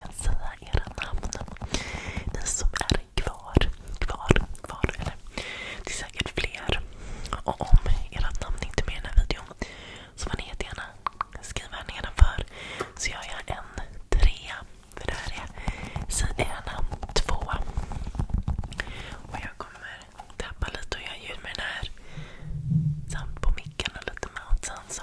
jag säga era namn. Ni som är kvar, kvar, kvar. Eller, det är säkert fler. Och om era namn inte är med i den här videon så får ni jättegärna skriva här nedanför. Så gör jag en trea. För det här är sidorna två. Och jag kommer tappa lite och göra ljud med den här. Samt på micken och lite med och sen så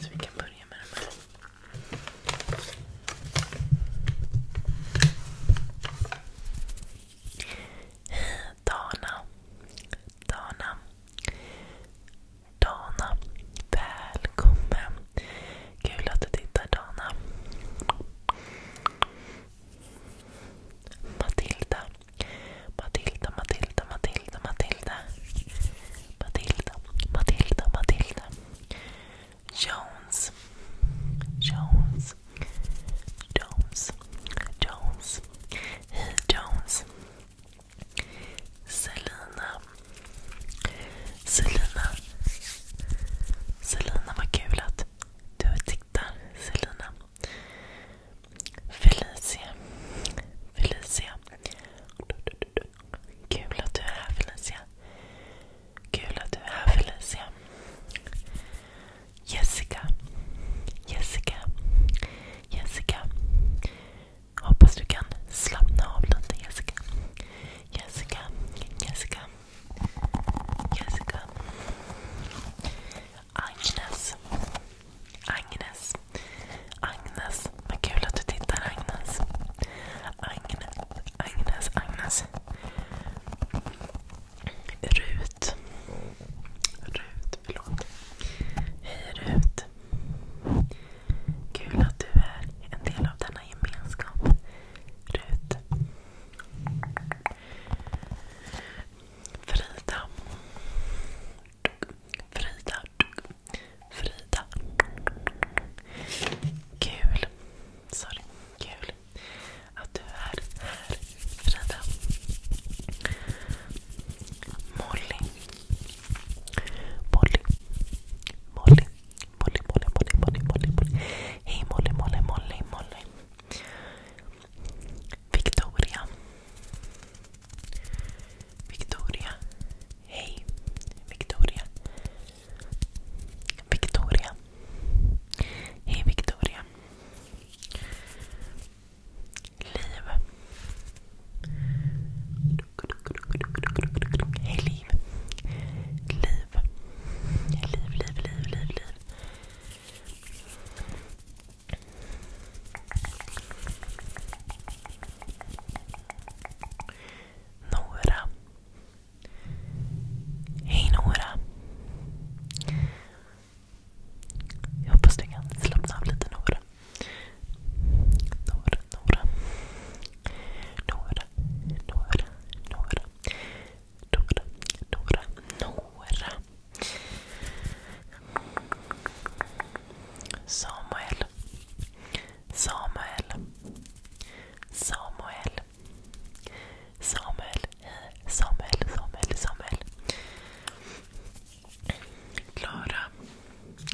Så vi kan börja med de här. Dana. Dana. Dana. Välkommen. Kul att du tittar Dana. Matilda. Matilda, Matilda, Matilda, Matilda. Matilda, Matilda, Matilda. Jones. Jones. Jones. Jones. Hej Jones. Selina. Selina. Selina, vad kul att du tittar. Selina. Felicia. Felicia. Kul att du är här Felicia. Kul att du är här Felicia. Jessica. Jessica. Jessica. Hoppas du kan slappna av lite Jessica. Jessica. Jessica. Jessica. Agnes. Agnes. Agnes. Vad kul att du tittar Agnes. Agnes. Agnes. Agnes. Rut. Rut, förlåt. Hej Rut. Kul att du är en del av denna gemenskap. Rut. Frida. Frida. Frida. Kul. Sorry. Kul att du är här, Frida. Molly. Molly. Molly. Molly, Molly, Molly, Molly, Molly. Hej Molly, Molly, Molly, Molly. Victoria Victoria Hey Victoria Victoria Hey Victoria Liv Hej Liv Liv Liv, liv, liv, liv, liv Nora. Hej Nora. Jag hoppas du kan slappna av lite Nora. Nora, Nora. Nora, Nora, Nora. Samuel. Samuel. Samuel. Samuel. Samuel. Samuel. Samuel. Klara.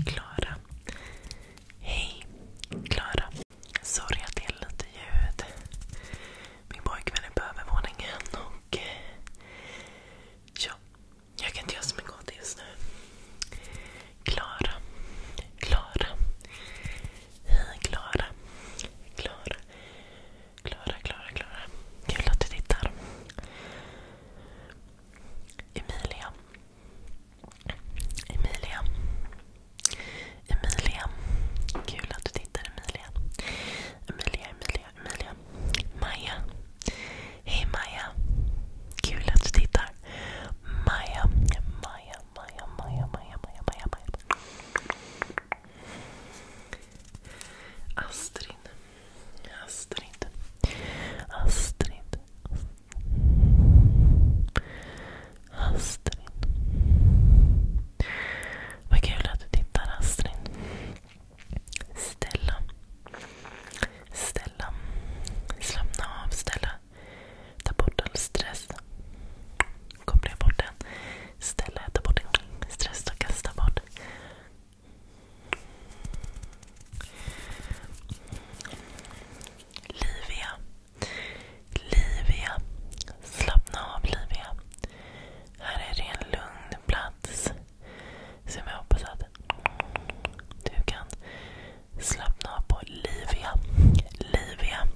Klara. Hej. Klara. Sorry att det är lite ljud. Min pojkvän är på övervåningen och eh, Ja, jag kan inte göra så mycket åt just nu. Klara. Klara. Klara. Klara, Klara, Klara. Kul att du tittar. Emilia. Emilia. Emilia. Kul att du tittar Emilia. Emilia, Emilia, Maja, Emilia. Maja. Hej Maja. Kul att du tittar. Maja, Maja, Maja, Maja, Maja, Maja, Maja. Maja. Astrid. Astrid. Astrid. Astrid. Vad kul att du tittar Astrid. Ställa. Ställa. Slappna av. Ställa. Ta bort all stress. Koppla bort den. Ställa. Ta bort den. Stress kasta bort. Livia. Livia. Slappna av Livia. Här är det en lugn plats. Som jag hoppas att du kan slappna av på Livia. Livia.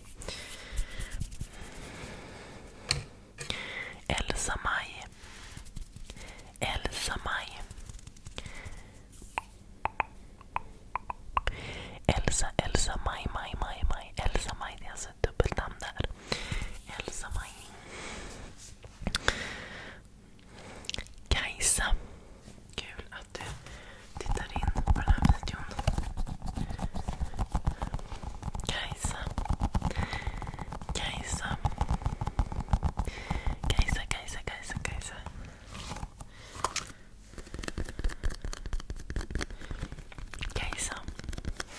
Elsa Maj. Elsa Maj. Elsa, Elsa, Maj, Maj, Maj, Maj. Elsa Maj, det är alltså ett dubbelt namn där. Elsa Maj. Kajsa, kul att du tittar in på den här videon. Kajsa, Kajsa, Kajsa, Kajsa, Kajsa, Kajsa. Kajsa.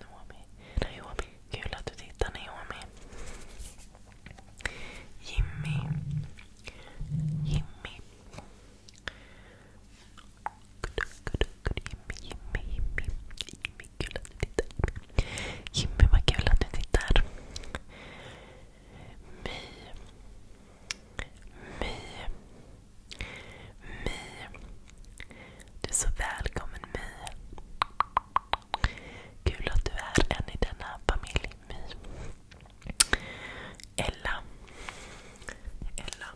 Naomi. Naomi. Kul att du tittar Naomi. Jimmy. Jimmy. Jimmy, Jimmy, Jimmy. Jimmy, kul att du tittar. Jimmy, vad kul att du tittar. My. My. My. Du är så välkommen My. Kul att du är en i denna familj My. Ella. Ella.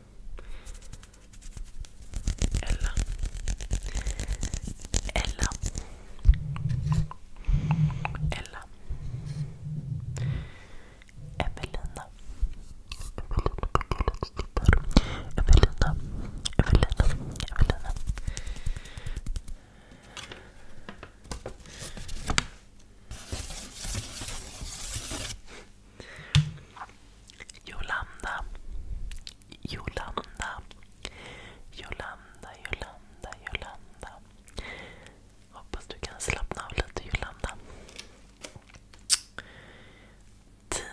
Ella. Ella. Ella. Evelina. Evelina, Evelina, Evelina. Jolanda, Jolanda, Jolanda, Jolanda, Jolanda. Hoppas du kan slappna av lite Jolanda. Tina.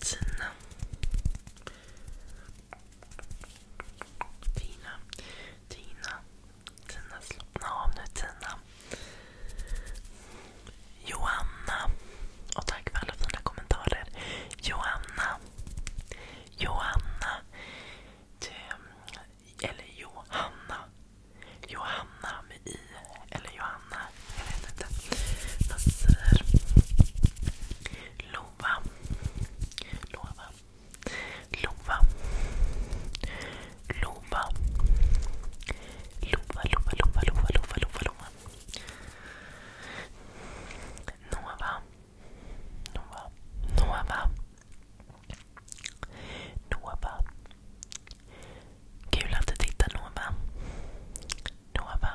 Tina. Tina. Tina. Tina, slappna av nu Tina. Joanna. Och tack för alla fina kommentarer. Joanna. Joanna. Du eller Johanna. Johanna med i. Eller Johanna. Jag vet inte. Man säger Lova. Lova. Lova. Lova. Lova, Lova, Lova, Lova, Lova, Lova, Lova. Nova. Nova. Nova. Nova. Kul att du tittar Nova. Nova.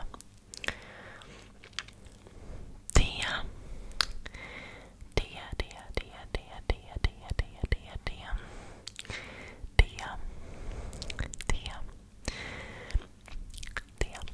Thea. Thea, Thea, Thea, Thea, Thea, Thea, Thea, Thea, Thea. Thea. Thea. Thea.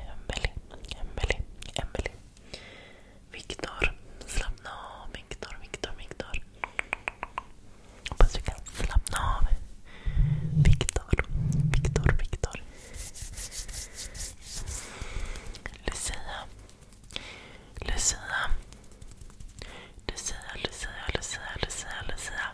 Emily, Emily, Emily. Viktor, slappna av. Viktor, Viktor, Viktor. Hoppas du kan slappna av. Viktor, Viktor, Lucia. Lucia, Lucia, Lucia, Lucia, Lucia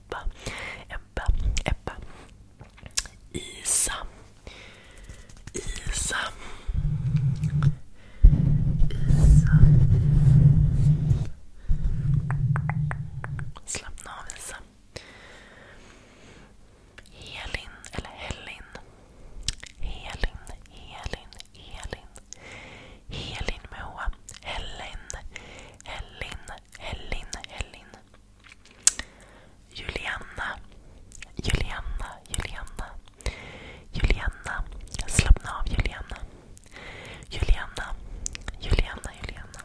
Ebba, Ebba, Ebba. Isa. Isa. Isa. Slappna av Isa. Helin, eller Helin. Helin, Helin, Helin. Helin med H. Helen, Helin. Helin, Helin. Juliana, Juliana, Juliana. Juliana, slappna av Juliana. Juliana, Juliana, Julianna.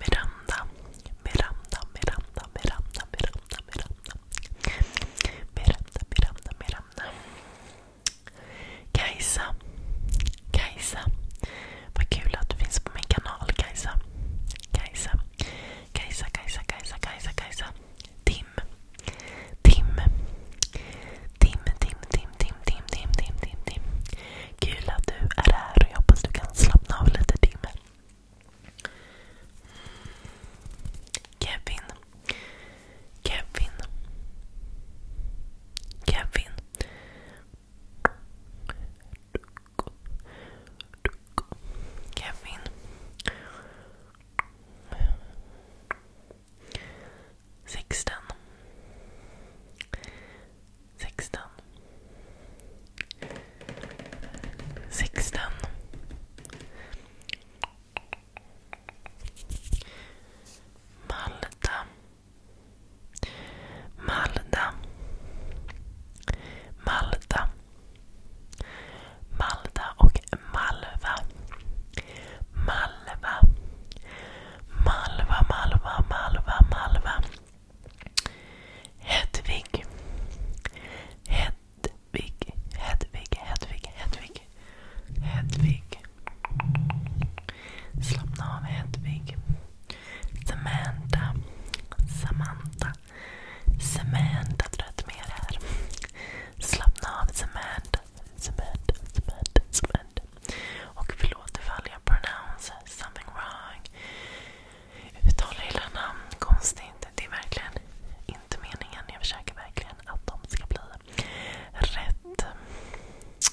Miranda, Miranda, Miranda, Miranda, Miranda, Miranda. Miranda, Miranda, Miranda. Kajsa. Kajsa. Vad kul att du finns på min kanal Kajsa. Kajsa. Kajsa, Kajsa, Kajsa, Kajsa, Kajsa. Tim. Tim. Tim, Tim, Tim, Tim, Tim, Tim, Tim, Tim, Tim. Kul att du är här och jag hoppas du kan slappna av lite Tim. Kevin. Kevin. Kevin. Kevin. Sexton. Sexton. Malta. Malda. Malda. Malda och Malva. Malva. Malva, Malva, Malva, Malva. Hedvig. Hedvig, Hedvig, Hedvig, Hedvig. Hedvig. Slappna av Hedvig. Samantha. Samantha. Samantha Tröttmer här. Slappna av Samantha. Samantha. Samantha. Samantha. Och förlåt ifall jag pronounce something wrong. Uttalar hela namn konstigt. Det är verkligen inte meningen. Jag försöker verkligen att de ska bli rätt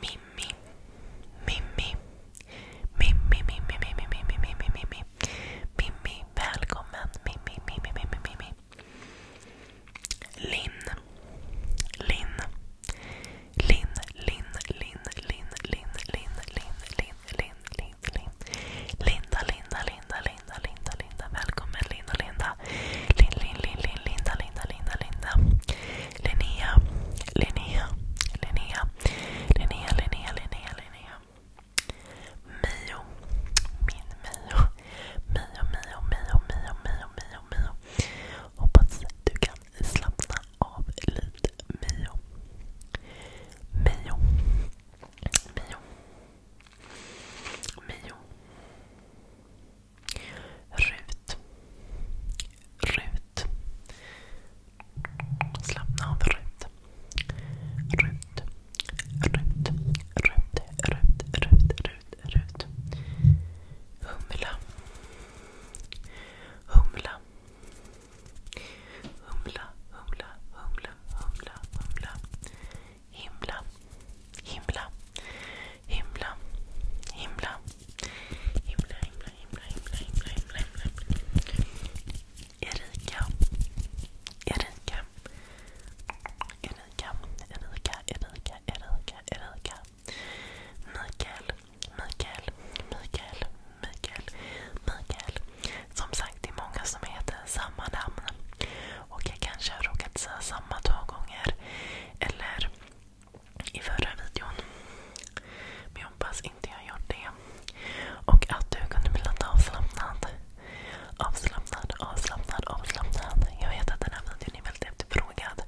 Mimmi, Mimmi, Mimmi, Mimmi, Mimmi, Mimmi, Mimmi, Mimmi, Mimmi, välkommen Mimmi, Mimmi, Mimmi, Mimmi. Linn, Linn, Linn, Linn, Linn, Linn, Linn, Linn, Linn, Linn, Linn, Linn, Linn. Linda, Linda, Linda, Linda, Linda, Linda. Välkommen Linda, Linda. Lin, Lin, Lin, Lin, Linda, Linda, Linda, Linda. Linnea, Linnea, Linnea, Linnea, Linnea, Linnea, Linnea. Mio, min Mio. Mio, Mio, Mio, Mio, Mio, Mio, Mio. Hoppas du kan slappna av lite Mio. Mio. Mio. Mio. Rut. Rut. Slappna av Rut. Rut. Rut. Rut. Rut. Rut. Rut. Rut. Humla. Humla. Humla. Humla. Humla. Humla. Humla. Himla. Himla himla, himla, himla, himla, himla, himla, himla, himla, himla. Erika, Erika, Erika, Erika, Erika, Erika, Erika. Mikael, Mikael, Mikael, Mikael, Mikael. Som sagt, det är många som heter samma namn. Och jag kanske har råkat säga samma två gånger. Eller i förra videon. Men jag hoppas inte jag gjort det. Och att du kunde bli lite avslappnad. Avslappnad, avslappnad, avslappnad. Jag vet att den här videon är väldigt efterfrågad.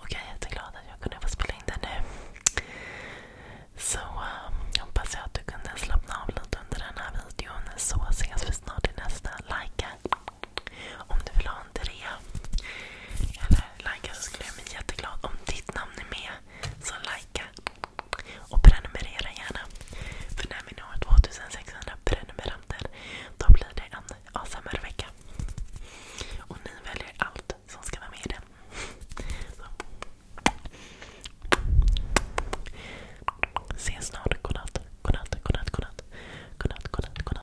Och jag är jätteglad att jag kunde få spela in den nu. Så um, hoppas jag att du kunde slappna av lite under den här videon. Så ses vi snart i nästa. Likea! Om du vill ha en trea eller likea så skulle jag bli jätteglad. Om ditt namn är med så likea och prenumerera gärna. För när vi når 2600 prenumeranter då blir det en ASMR-vecka. Och ni väljer allt som ska vara med i den. Ses snart. godnatt, godnatt, godnatt. Godnatt, godnatt, godnatt.